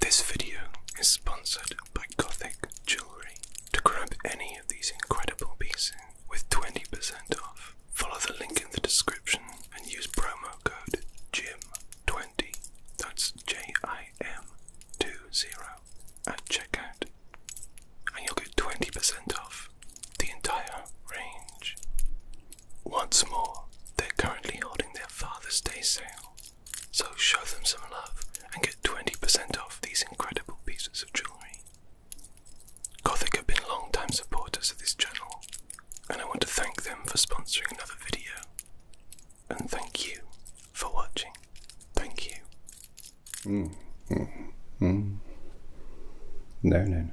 This video is sponsored by Gothic Jewelry. To grab any of these incredible pieces with 20% off, follow the link in the description and use promo code JIM20, that's J-I-M-20, at checkout, and you'll get 20% off the entire range. Once more, they're currently holding their Father's Day sale, so show them some love and get 20% off these incredible pieces of jewellery. Gothic have been long time supporters of this channel, and I want to thank them for sponsoring another video. And thank you for watching. Thank you. Mm, mm, mm. no, no, no.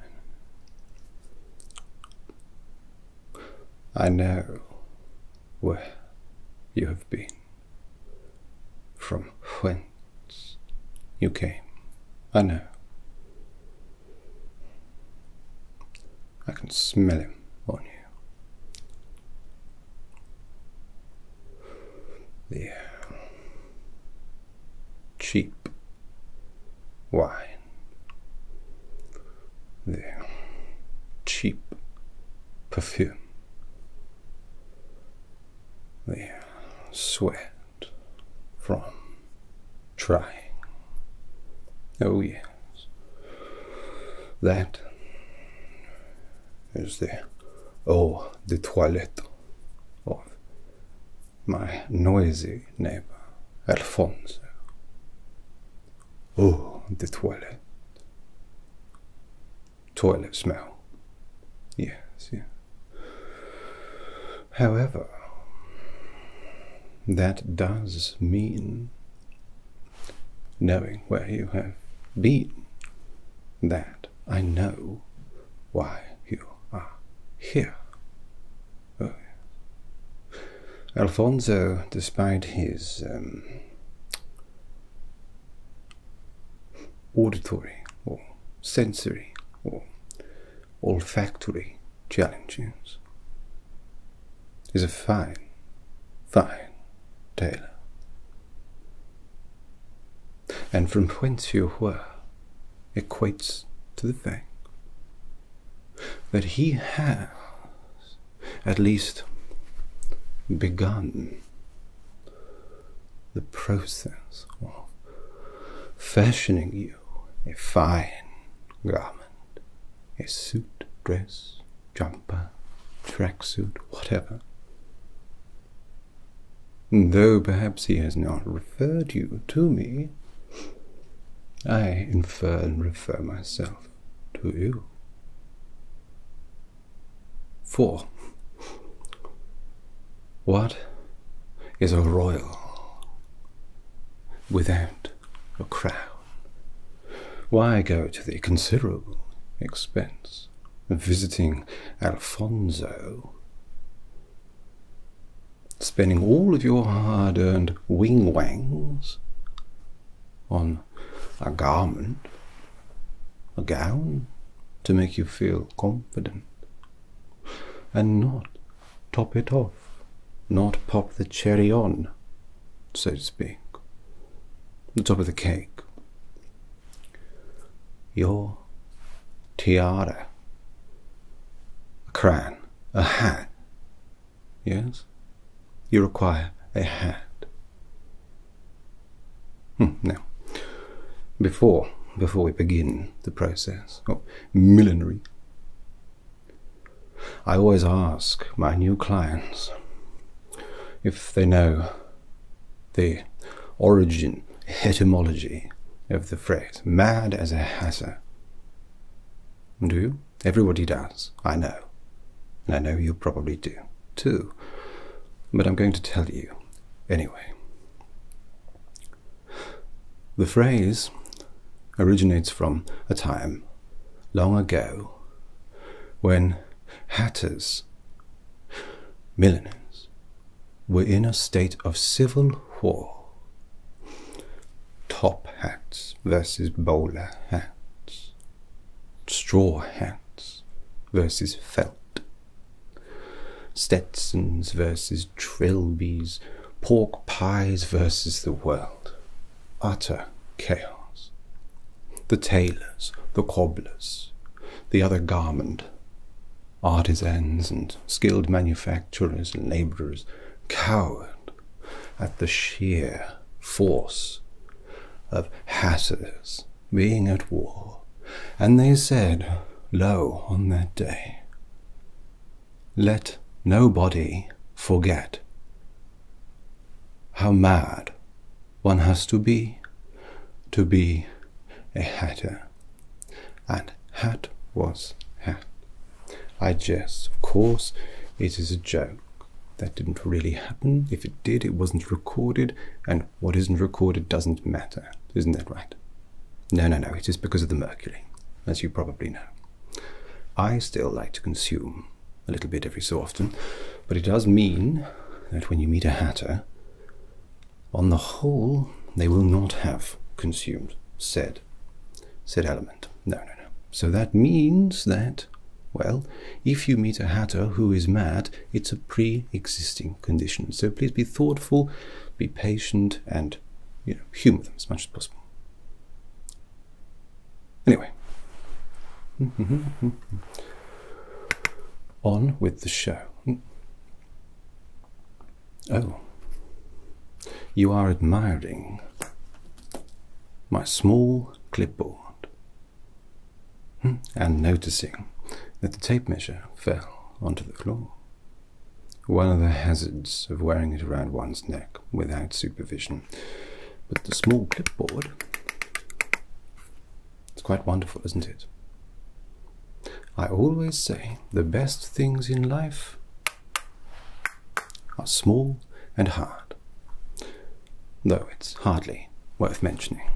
I know where you have been, from whence you came. I know. I can smell him on you. The uh, cheap wine. The cheap perfume. The sweat from trying. Oh, yes. That is the eau the toilette of my noisy neighbor Alfonso. Oh, the toilet. Toilet smell. Yes, yes. However, that does mean knowing where you have been. That I know why you are here. Oh, Alfonso, despite his um, auditory or sensory or olfactory challenges, is a fine, fine tailor and from whence you were equates to the fact that he has at least begun the process of fashioning you a fine garment, a suit, dress, jumper, tracksuit, whatever, Though perhaps he has not referred you to me, I infer and refer myself to you. 4. What is a royal without a crown? Why go to the considerable expense of visiting Alfonso spending all of your hard earned wing wangs on a garment, a gown, to make you feel confident, and not top it off, not pop the cherry on, so to speak, the top of the cake. Your tiara, a crown, a hat. Yes? You require a hat. Hmm, now, before, before we begin the process of millinery, I always ask my new clients if they know the origin etymology of the phrase, mad as a hatter. Do you? Everybody does, I know. And I know you probably do, too. But I'm going to tell you, anyway. The phrase originates from a time long ago when hatters, milliners, we're in a state of civil war. Top hats versus bowler hats, straw hats versus felt, Stetsons versus Trilbys, pork pies versus the world. Utter chaos. The tailors, the cobblers, the other garment, artisans and skilled manufacturers and laborers cowered at the sheer force of hatters being at war, and they said, Lo, on that day, let nobody forget how mad one has to be to be a hatter. And hat was hat. I jest, of course, it is a joke. That didn't really happen. If it did, it wasn't recorded, and what isn't recorded doesn't matter. Isn't that right? No, no, no, it is because of the mercury, as you probably know. I still like to consume a little bit every so often, but it does mean that when you meet a hatter, on the whole, they will not have consumed said, said element. No, no, no. So that means that, well, if you meet a hatter who is mad, it's a pre existing condition. So please be thoughtful, be patient, and you know, humor them as much as possible. Anyway, on with the show. Oh, you are admiring my small clipboard hmm. and noticing that the tape measure fell onto the floor. One of the hazards of wearing it around one's neck without supervision. But the small clipboard, it's quite wonderful, isn't it? I always say the best things in life are small and hard, though it's hardly worth mentioning.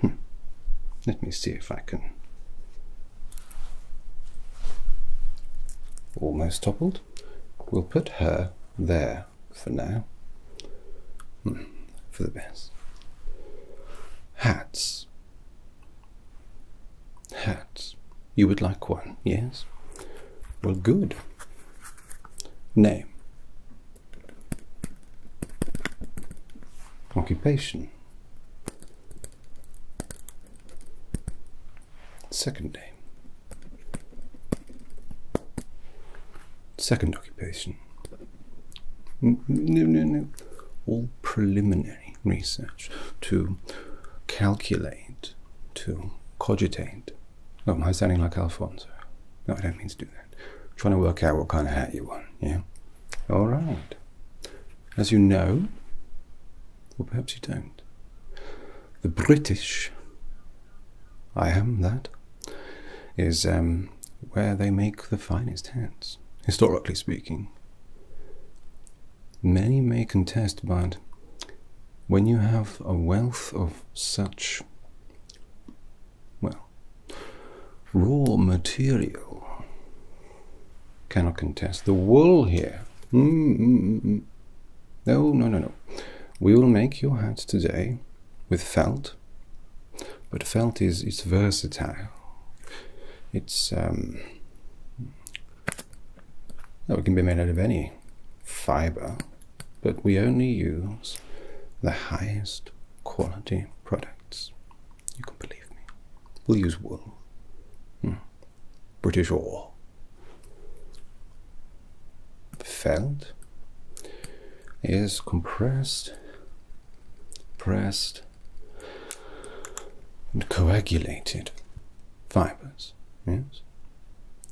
Hmm. Let me see if I can. Almost toppled. We'll put her there for now. Hmm. For the best. Hats Hats. You would like one, yes? Well, good. Name. Occupation. Second name. Second occupation. No, no, no. All preliminary research to calculate, to cogitate. No, oh, am I sounding like Alfonso? No, I don't mean to do that. trying to work out what kind of hat you want, yeah? All right. As you know, or perhaps you don't, the British, I am that, is um, where they make the finest hats, historically speaking. Many may contest, but when you have a wealth of such, well, raw material, cannot contest. The wool here. Mm, mm, mm, no, no, no, no. We will make your hat today with felt but felt is, is versatile. It's um, it can be made out of any fiber, but we only use the highest quality products. You can believe me. We'll use wool, hmm. British wool. felt is compressed, pressed, and coagulated fibers, yes,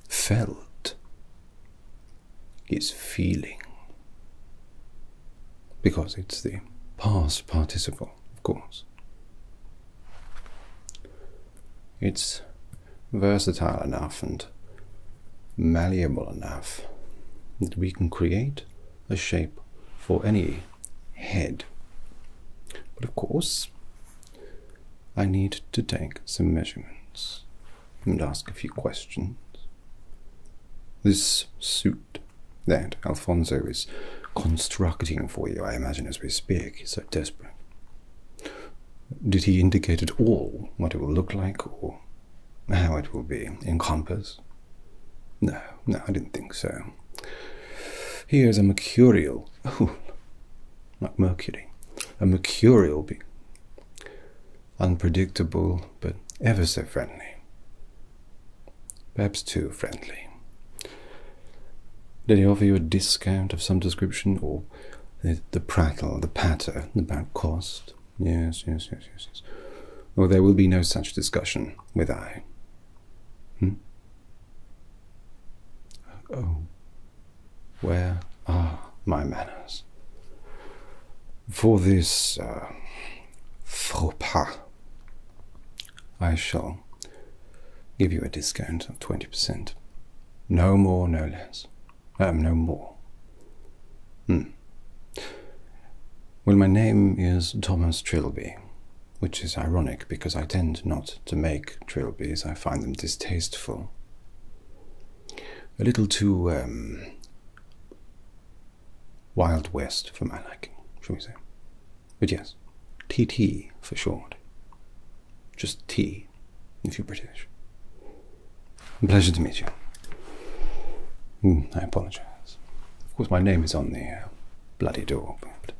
felt is feeling because it's the past participle, of course. It's versatile enough and malleable enough that we can create the shape for any head. But of course, I need to take some measurements and ask a few questions. This suit that Alfonso is constructing for you, I imagine, as we speak, is so desperate. Did he indicate at all what it will look like or how it will be in compass? No, no, I didn't think so. Here's a mercurial. like Mercury. A mercurial being. Unpredictable, but ever so friendly. Perhaps too friendly. Did he offer you a discount of some description, or the, prattle, the patter about cost? Yes, yes, yes, yes, yes. Or there will be no such discussion with I. Hmm? Oh, where are my manners? For this uh, faux I shall give you a discount of 20%. No more, no less. Um, no more. Hmm. Well, my name is Thomas Trilby, which is ironic because I tend not to make trilbies, I find them distasteful. A little too um, Wild West for my liking, shall we say. But yes, TT for short. Just T, if you're British. Pleasure to meet you. Hmm, I apologise. Of course, my name is on the uh, bloody door, but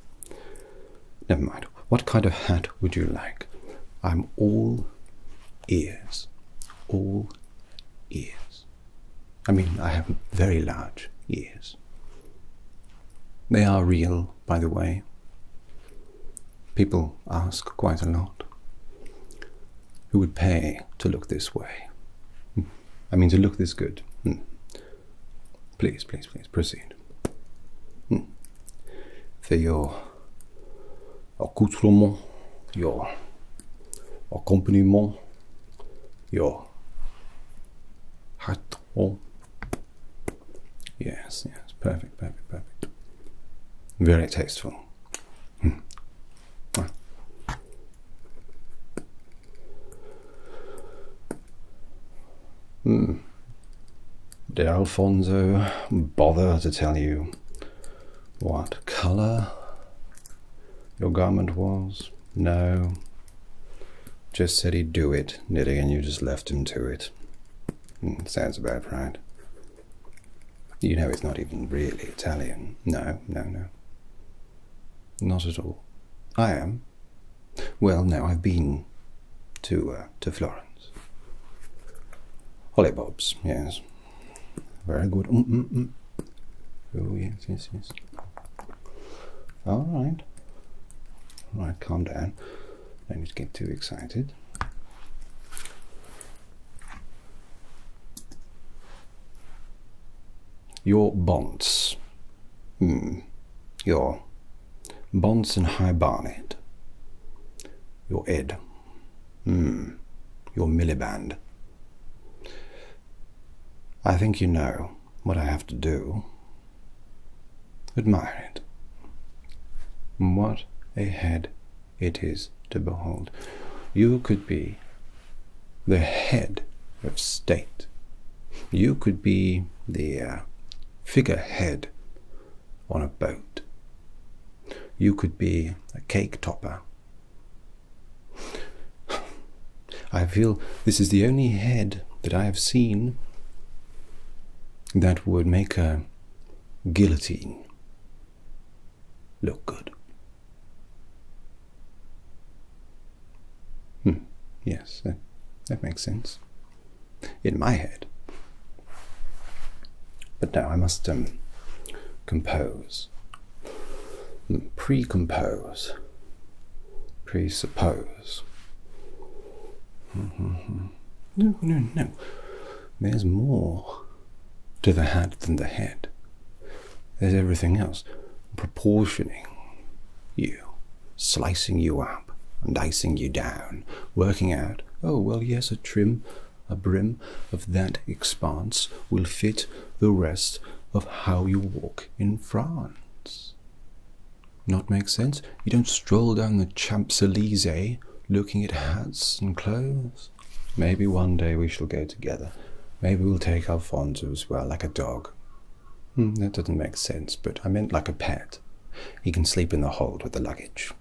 never mind. What kind of hat would you like? I'm all ears. All ears. I mean, I have very large ears. They are real, by the way. People ask quite a lot. Who would pay to look this way? Hmm. I mean to look this good. Hmm. Please, please, please proceed. For hmm. your accoutrement, your accompaniment, your hat. All Yes, yes, perfect, perfect, perfect. Very tasteful. Hmm. Hmm. Did Alfonso bother to tell you what color your garment was? No. Just said he'd do it, knitting, and you just left him to it. Hmm, sounds about right. You know it's not even really Italian. No, no, no. Not at all. I am. Well, now I've been to uh, to Florence. Hollybobs, yes. Very good. Mm, mm, mm. Oh, yes, yes, yes. All right. All right, calm down. Don't get too excited your bonds. Hmm. Your bonds and high barnet. Your ed. Hmm. Your milliband. I think you know what I have to do. Admire it. What a head it is to behold. You could be the head of state. You could be the uh, figurehead on a boat. You could be a cake topper. I feel this is the only head that I have seen that would make a guillotine look good. Hmm. yes, that, makes sense. In my head. But now I must um, compose, hmm, pre compose, presuppose. Mm-hmm. No, no, no. There's more to the hat than the head. There's everything else. Proportioning you, slicing you up and dicing you down, working out, oh, well, yes, a trim, a brim of that expanse will fit the rest of how you walk in France. Not make sense? You don't stroll down the Champs Elysees looking at hats and clothes. Maybe one day we shall get together. Maybe we'll take Alfonso as well, like a dog. Hmm, that doesn't make sense, but I meant like a pet. He can sleep in the hold with the luggage.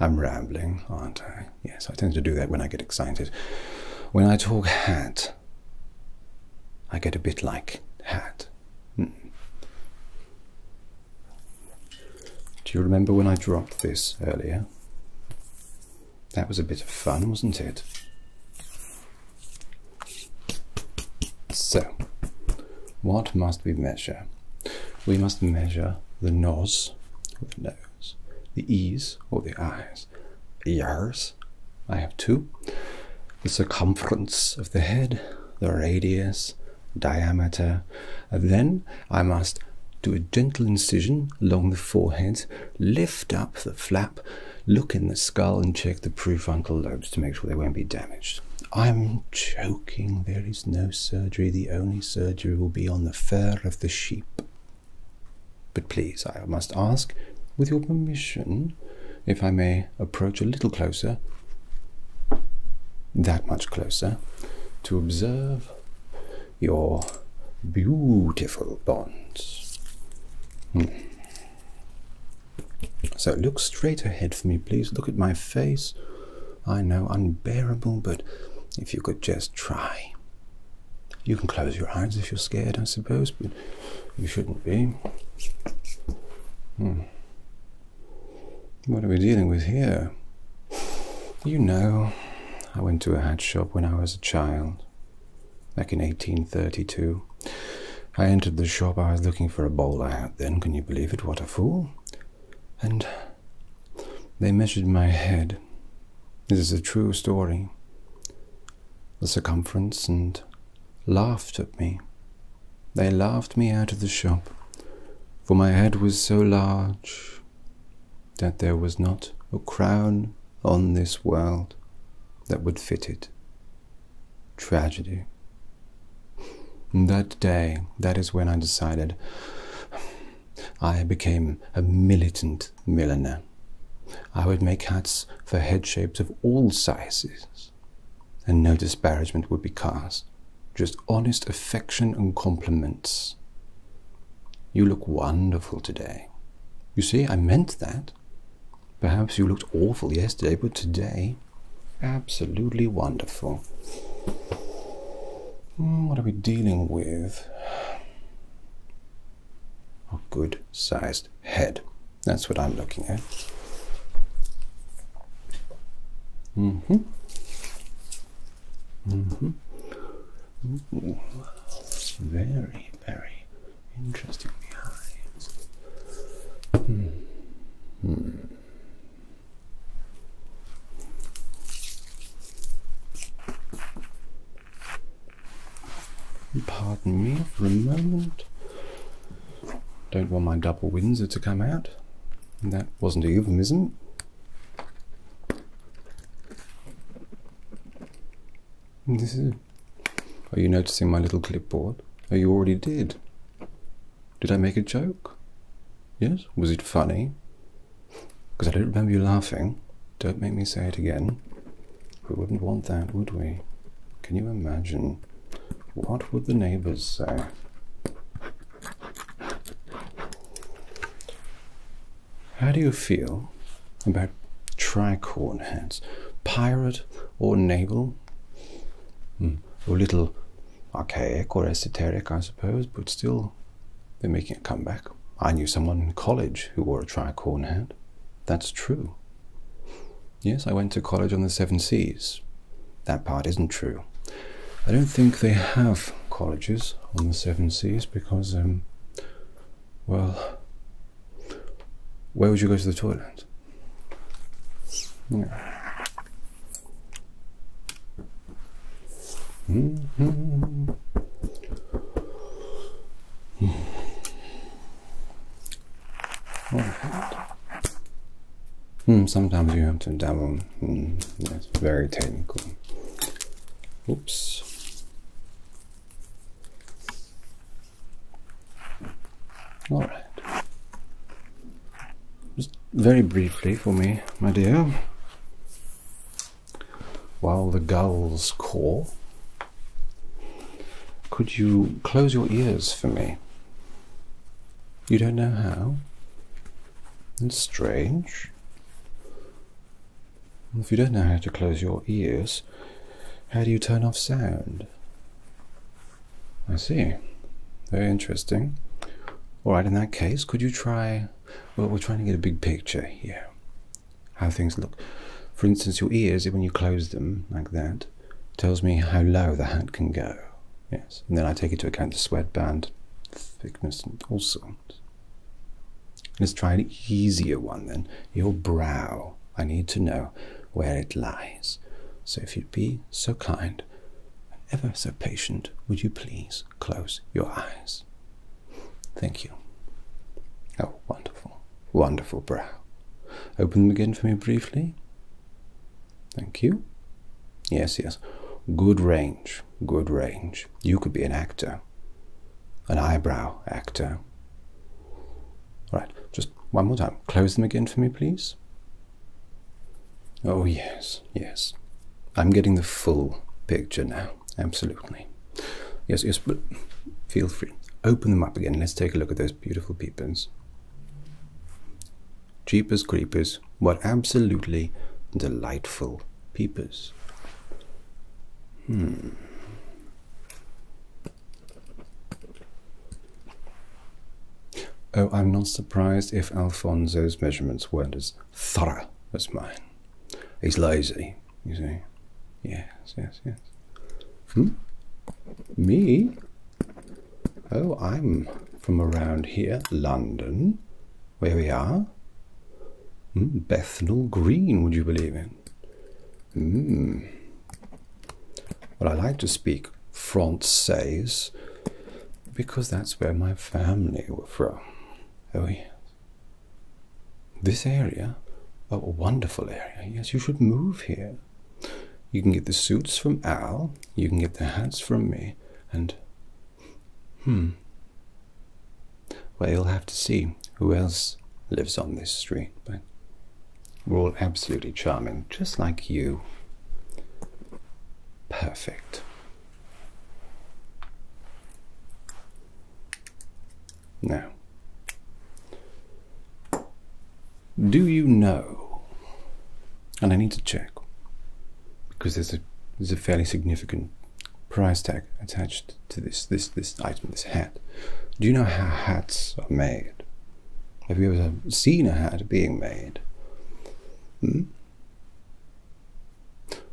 I'm rambling, aren't I? Yes, I tend to do that when I get excited. When I talk hat, I get a bit like hat. Hmm. Do you remember when I dropped this earlier? That was a bit of fun, wasn't it? So, what must we measure? We must measure the nose, the nose, the ears, or the eyes, ears, I have two, the circumference of the head, the radius, diameter. then I must do a gentle incision along the forehead, lift up the flap, look in the skull, and check the prefrontal lobes to make sure they won't be damaged. I'm choking. there is no surgery. The only surgery will be on the fur of the sheep. But please, I must ask, with your permission, if I may approach a little closer, that much closer, to observe your beautiful bonds. Hmm. So look straight ahead for me, please. Look at my face. I know, unbearable, but if you could just try. You can close your eyes if you're scared, I suppose, but you shouldn't be. Hmm. What are we dealing with here? You know, I went to a hat shop when I was a child. Back in 1832, I entered the shop. I was looking for a bowler hat then, can you believe it? What a fool. And they measured my head. This is a true story. The circumference and laughed at me. They laughed me out of the shop, for my head was so large that there was not a crown on this world that would fit it. Tragedy. That day, that is when I decided I became a militant milliner. I would make hats for head shapes of all sizes, and no disparagement would be cast, just honest affection and compliments you look wonderful today. You see, I meant that. Perhaps you looked awful yesterday, but today, absolutely wonderful. Hmm, what are we dealing with? A good sized head. That's what I'm looking at. hmm. Mm-hmm. very, very interesting behind. Hmm. Pardon me for a moment. Don't want my double windsor to come out. That wasn't a euphemism. This is. Are you noticing my little clipboard? Oh, you already did. Did I make a joke? Yes? Was it funny? Because I don't remember you laughing. Don't make me say it again. We wouldn't want that, would we? Can you imagine? What would the neighbours say? How do you feel about tricorn hats, Pirate or naval? Mm. A little archaic or esoteric, I suppose, but still, they're making a comeback. I knew someone in college who wore a tricorn hat. That's true. Yes, I went to college on the Seven Seas. That part isn't true. I don't think they have colleges on the Seven Seas because um, well, where would you go to the toilet? Hmm. -hmm. sometimes you have to double. Mm, that's very technical. Oops. All right. Just very briefly for me, my dear. While the gulls call, could you close your ears for me? You don't know how? It's strange. If you don't know how to close your ears, how do you turn off sound? I see. Very interesting. Alright, in that case, could you try. Well, we're trying to get a big picture here. How things look. For instance, your ears, when you close them like that, tells me how low the hat can go. Yes, and then I take into account the sweatband thickness and also. Let's try an easier one then. Your brow. I need to know where it lies. So if you'd be so kind, and ever so patient, would you please close your eyes? Thank you. Oh, wonderful, wonderful brow. Open them again for me briefly. Thank you. Yes, yes. Good range good range. You could be an actor, an eyebrow actor. All right, just one more time. Close them again for me, please. Oh, yes, yes. I'm getting the full picture now, absolutely. Yes, yes, feel free. Open them up again. Let's take a look at those beautiful peepers. Jeepers creepers, what absolutely delightful peepers. Hmm. Oh, I'm not surprised if Alfonso's measurements weren't as thorough as mine. He's lazy, you see. Yes, yes, yes. Hmm? Me? Oh, I'm from around here, London where we are. Hmm, Bethnal Green, would you believe in? Hmm. Well, I like to speak Francais because that's where my family were from. Oh, yes. This area, a wonderful area. Yes, you should move here. You can get the suits from Al, you can get the hats from me, and hmm, well, you'll have to see who else lives on this street, but we're all absolutely charming, just like you. Perfect. Now, do you know? And I need to check because there's a there's a fairly significant price tag attached to this this this item, this hat. Do you know how hats are made? Have you ever seen a hat being made? Hmm?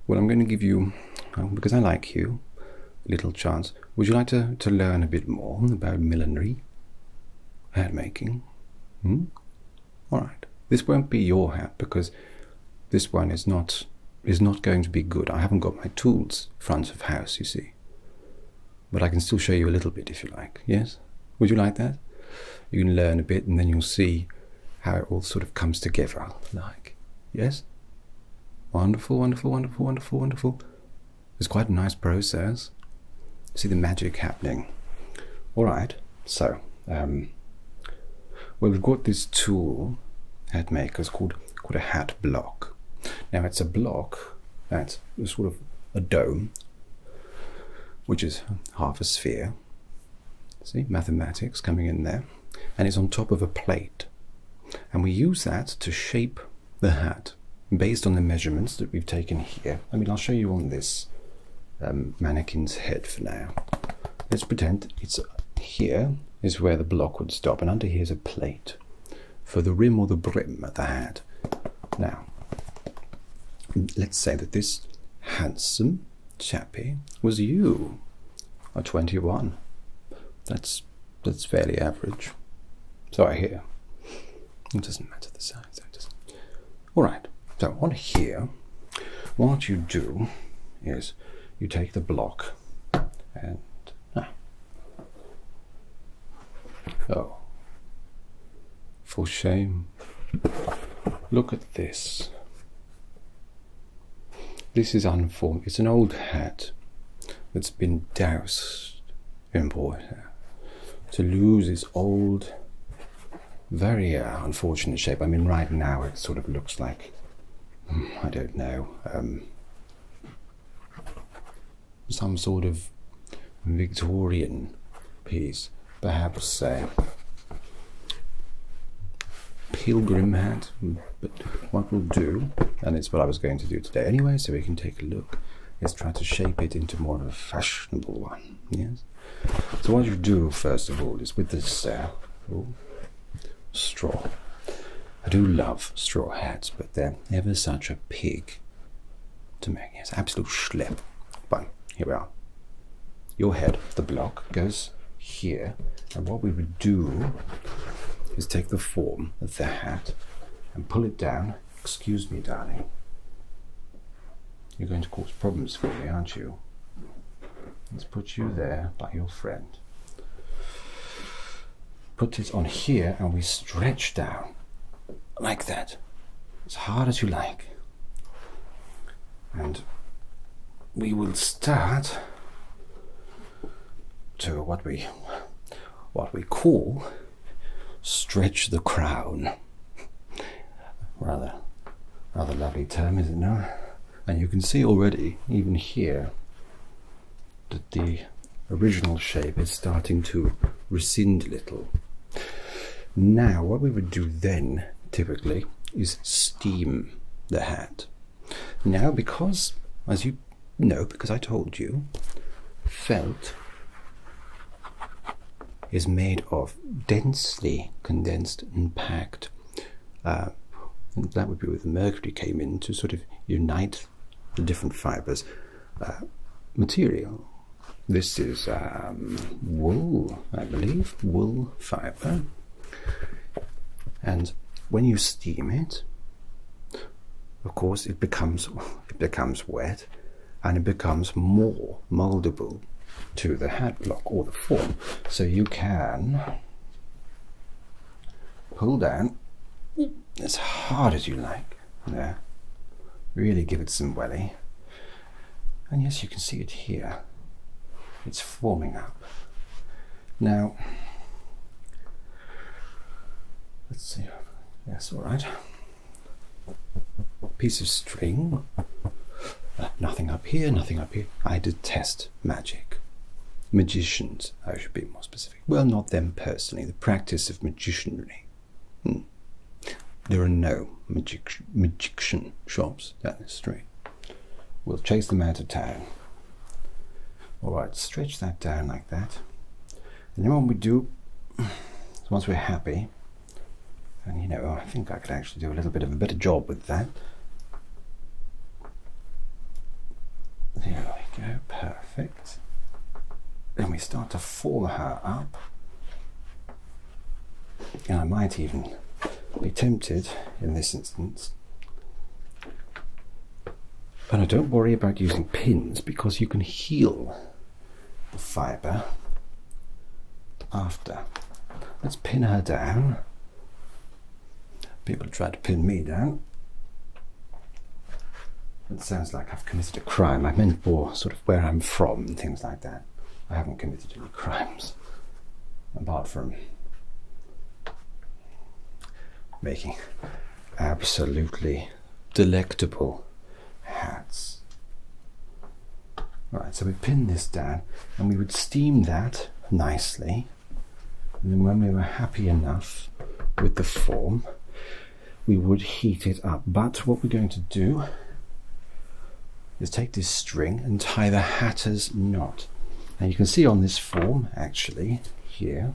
Well, I'm going to give you, um, because I like you, a little chance. Would you like to, to learn a bit more about millinery, hat making? Hmm? All right. This won't be your hat because this one is not is not going to be good. I haven't got my tools front of house, you see. But I can still show you a little bit if you like. Yes? Would you like that? You can learn a bit and then you'll see how it all sort of comes together like. Yes? Wonderful, wonderful, wonderful, wonderful, wonderful. It's quite a nice process. See the magic happening. Alright, so um, well, we've got this tool at Makers called, called a hat block. Now it's a block that's sort of a dome, which is half a sphere. See, mathematics coming in there. And it's on top of a plate. And we use that to shape the hat based on the measurements that we've taken here. I mean, I'll show you on this um, mannequin's head for now let's pretend it's here is where the block would stop and under here is a plate for the rim or the brim of the hat. Now, let's say that this handsome chappie was you, a 21. That's, that's fairly average. So I hear. It doesn't matter the size. All right, so on here, what you do is you take the block and ah. oh for shame look at this this is unformed it's an old hat that's been doused in water to lose its old very uh, unfortunate shape i mean right now it sort of looks like I don't know, um, some sort of Victorian piece, perhaps a uh, pilgrim hat. But what we'll do, and it's what I was going to do today anyway, so we can take a look, is try to shape it into more of a fashionable one. Yes. So what you do first of all is with this. Uh, straw. I do love straw hats, but they're ever such a pig to make. Yes, absolute schlep. But here we are. Your head, the block, goes here. And what we would do is take the form of the hat and pull it down. Excuse me, darling. You're going to cause problems for me, aren't you? Let's put you there by your friend. Put it on here and we stretch down like that, as hard as you like. And we will start to what we what we call stretch the crown. Rather rather lovely term, is it not? And you can see already, even here, that the original shape is starting to rescind a little. Now, what we would do then, typically, is steam the hat. Now, because, as you know, because I told you, felt is made of densely condensed and packed and uh, that would be where the mercury came in to sort of unite the different fibers. Uh, material. This is um, wool, I believe, wool fiber. And when you steam it, of course, it becomes it becomes wet, and it becomes more moldable to the hat block or the form. So you can pull down as hard as you like there. Really give it some welly. And yes, you can see it here. It's forming up. Now, let's see. Yes, all right. Piece of string. Uh, nothing up here, nothing up here. I detest magic. Magicians, I should be more specific. Well, not them personally, the practice of magicianry. Hmm. There are no magic magician shops down the street. We'll chase them out of town. All right, stretch that down like that. And then what we do, so once we're happy, and you know, I think I could actually do a little bit of a better job with that. There we go, perfect. Then we start to form her up. And I might even be tempted in this instance. And I don't worry about using pins because you can heal the fibre after. Let's pin her down. People try to pin me down. It sounds like I've committed a crime. I meant for sort of where I'm from and things like that. I haven't committed any crimes apart from making absolutely delectable hats all right, so we pin this down and we would steam that nicely. And then when we were happy enough with the form, we would heat it up. But what we're going to do is take this string and tie the hatter's knot. And you can see on this form, actually, here,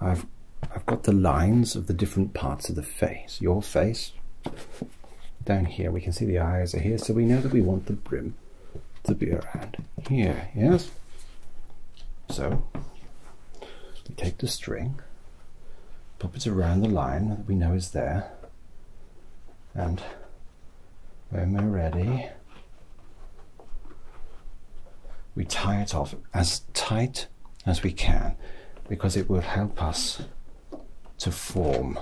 I've, I've got the lines of the different parts of the face. Your face, down here we can see the eyes are here so we know that we want the brim to be around here yes so we take the string pop it around the line that we know is there and when we're ready we tie it off as tight as we can because it will help us to form.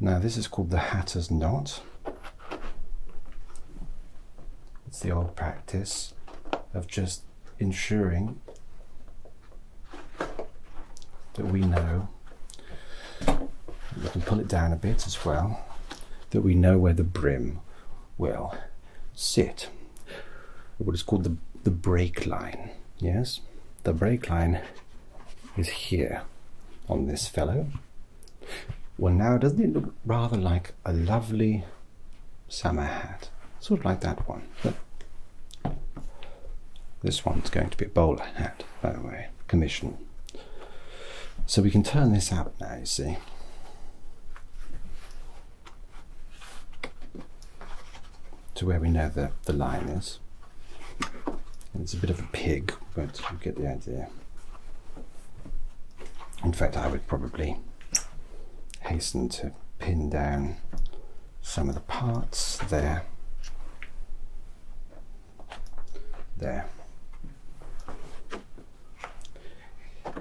Now this is called the Hatter's Knot. It's the old practice of just ensuring that we know, we can pull it down a bit as well, that we know where the brim will sit what is called the, the brake line. Yes, the brake line is here on this fellow. Well, now doesn't it look rather like a lovely summer hat? Sort of like that one. But this one's going to be a bowler hat, by the way, commission. So we can turn this out now, you see to where we know the, the line is. it's a bit of a pig, but you get the idea. In fact, I would probably hasten to pin down some of the parts there. There.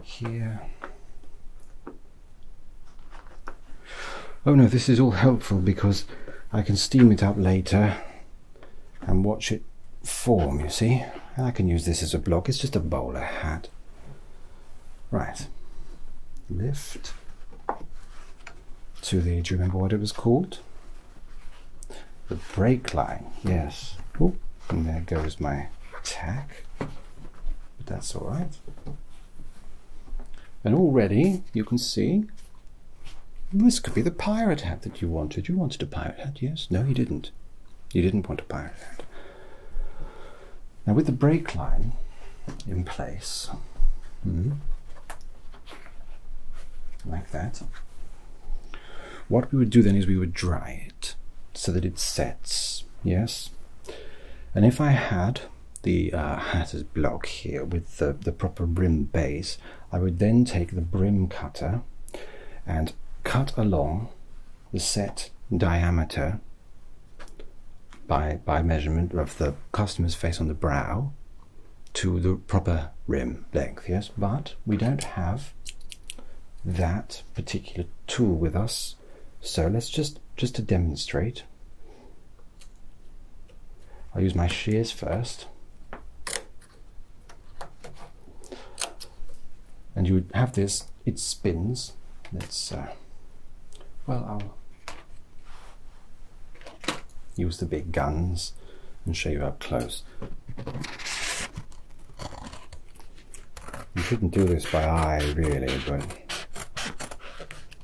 Here. Oh no, this is all helpful because I can steam it up later and watch it form, you see. And I can use this as a block, it's just a bowler hat. Right, lift to the, do you remember what it was called? The brake line, yes. Oh, and there goes my tack, but that's all right. And already you can see this could be the pirate hat that you wanted. You wanted a pirate hat, yes? No, you didn't. You didn't want a pirate hat. Now, with the brake line in place, hmm, like that, what we would do then is we would dry it so that it sets, yes? And if I had the uh, hatter's block here with the, the proper brim base, I would then take the brim cutter and cut along the set diameter by, by measurement of the customer's face on the brow to the proper rim length, yes, but we don't have that particular tool with us so let's just, just to demonstrate, I'll use my shears first. And you have this, it spins. Let's, uh, well, I'll use the big guns and show you up close. You shouldn't do this by eye really, but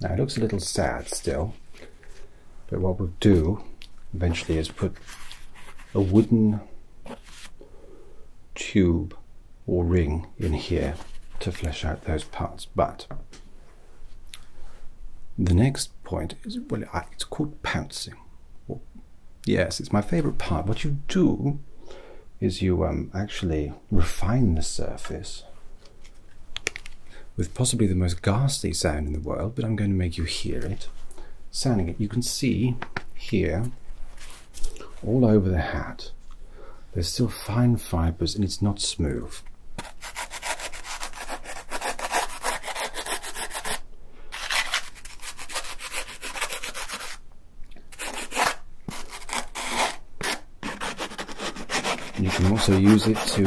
Now it looks a little sad still, but what we'll do eventually is put a wooden tube or ring in here to flesh out those parts. But the next point is, well, it's called pouncing. yes, it's my favorite part. What you do is you um, actually refine the surface with possibly the most ghastly sound in the world, but I'm going to make you hear it. Sounding it, you can see here, all over the hat, there's still fine fibers and it's not smooth you can also use it to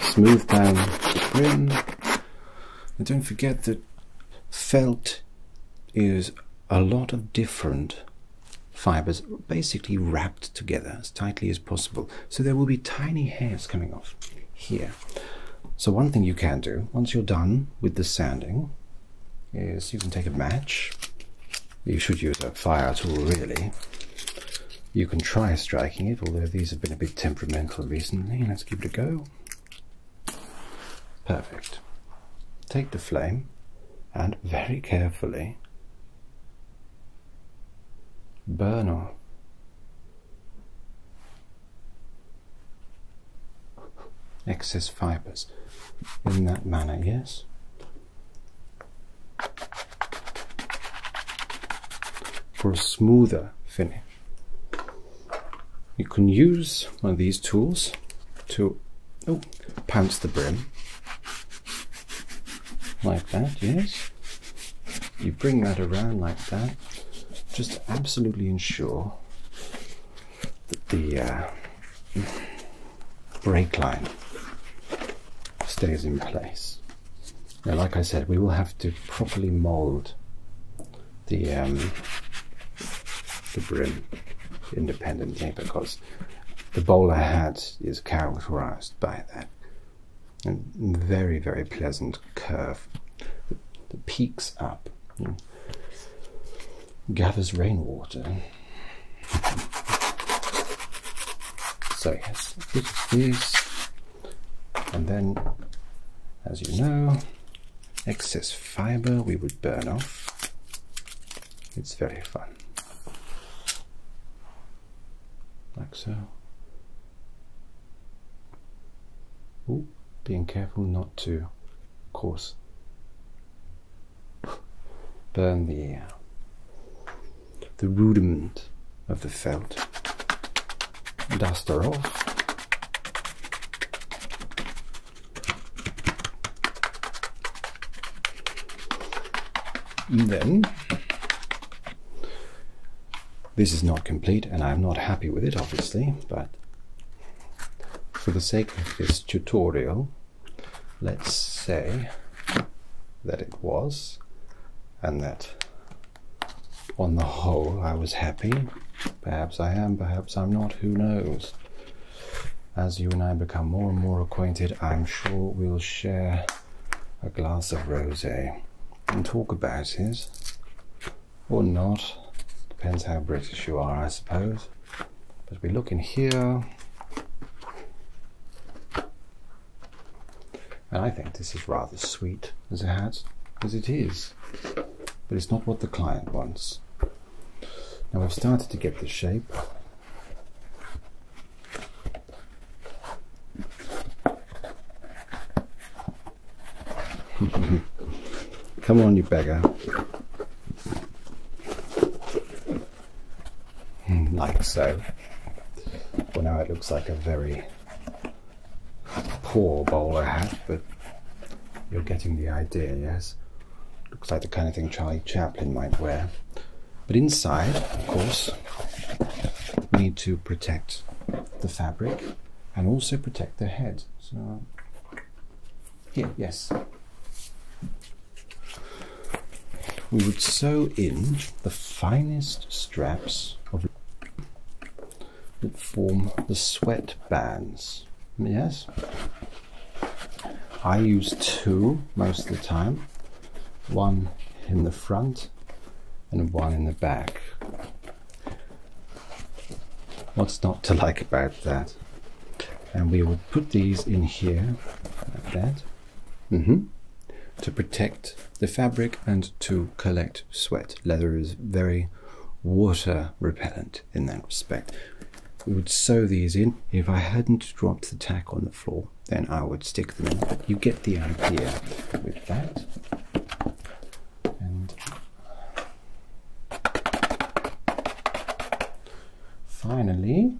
smooth down the brim. And don't forget that felt is a lot of different fibers basically wrapped together as tightly as possible. So there will be tiny hairs coming off here. So one thing you can do, once you're done with the sanding, is you can take a match you should use a fire tool really. You can try striking it, although these have been a bit temperamental recently. Let's give it a go. Perfect. Take the flame and very carefully burn off excess fibers in that manner, yes? for a smoother finish. You can use one of these tools to oh, pounce the brim like that, yes. You bring that around like that just absolutely ensure that the uh, brake line stays in place. Now, like I said, we will have to properly mold the um, the brim independently because the bowler hat is characterized by that very very pleasant curve that peaks up, gathers rainwater, so yes, these, and then as you know, excess fiber we would burn off. It's very fun. Like so. Ooh, being careful not to, of course, burn the the rudiment of the felt. Dust her off. then this is not complete and I'm not happy with it obviously but for the sake of this tutorial let's say that it was, and that on the whole I was happy. Perhaps I am, perhaps I'm not, who knows? As you and I become more and more acquainted, I'm sure we'll share a glass of rosé and talk about it, or not. Depends how British you are, I suppose. But we look in here. And I think this is rather sweet as a hat, as it is. But it's not what the client wants. Now we've started to get the shape. Come on, you beggar like so. Well, now it looks like a very poor bowler hat, but you're getting the idea, yes? Looks like the kind of thing Charlie Chaplin might wear. But inside, of course, we need to protect the fabric and also protect the head. So, here, yes we would sew in the finest straps that form the sweat bands. Yes, I use two most of the time, one in the front and one in the back. What's not to like about that? And we would put these in here like that. Mm-hmm. To protect the fabric and to collect sweat. Leather is very water repellent in that respect. We would sew these in. If I hadn't dropped the tack on the floor, then I would stick them in. But you get the idea with that. And finally,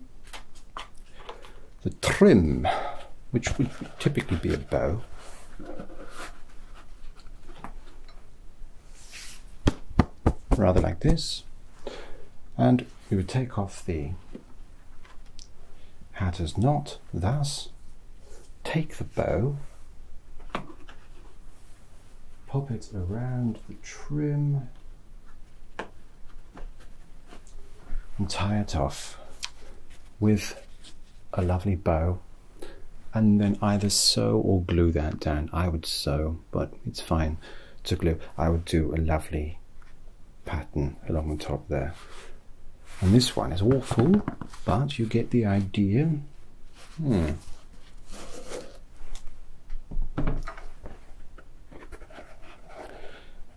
the trim, which would typically be a bow. Rather like this. And we would take off the hatter's knot, thus, take the bow, pop it around the trim and tie it off with a lovely bow and then either sew or glue that down. I would sew, but it's fine to glue. I would do a lovely pattern along the top there. And this one is awful, but you get the idea. Hmm.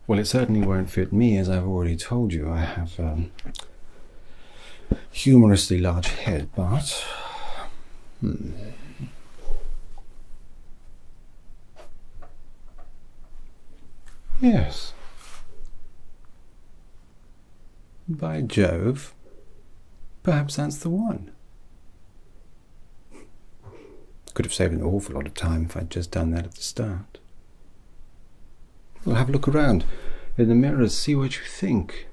Well, it certainly won't fit me, as I've already told you. I have um, humorously large head, but. Hmm. Yes. By Jove, perhaps that's the one. Could have saved an awful lot of time if I'd just done that at the start. Well, have a look around in the mirrors, see what you think.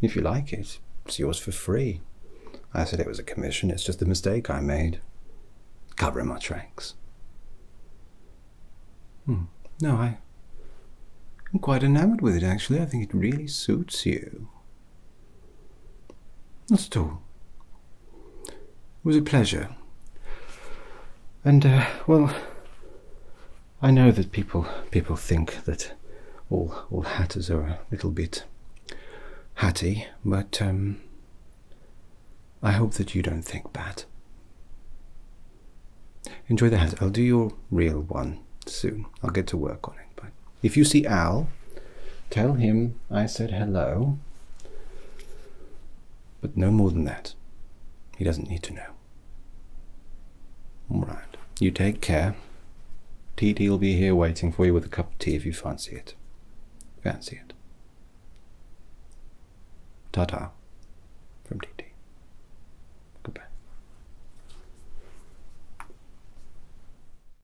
If you like it, it's yours for free. I said it was a commission, it's just a mistake I made. Covering my tracks. Hmm, no, I'm quite enamored with it actually. I think it really suits you. That's all. It was a pleasure. And, uh, well, I know that people people think that all all hatters are a little bit hatty, but um, I hope that you don't think bad. Enjoy the hat. I'll do your real one soon. I'll get to work on it. But if you see Al, tell him I said hello. But no more than that. He doesn't need to know. All right. You take care. TT will be here waiting for you with a cup of tea if you fancy it. Fancy it. Ta ta. From TT. Goodbye.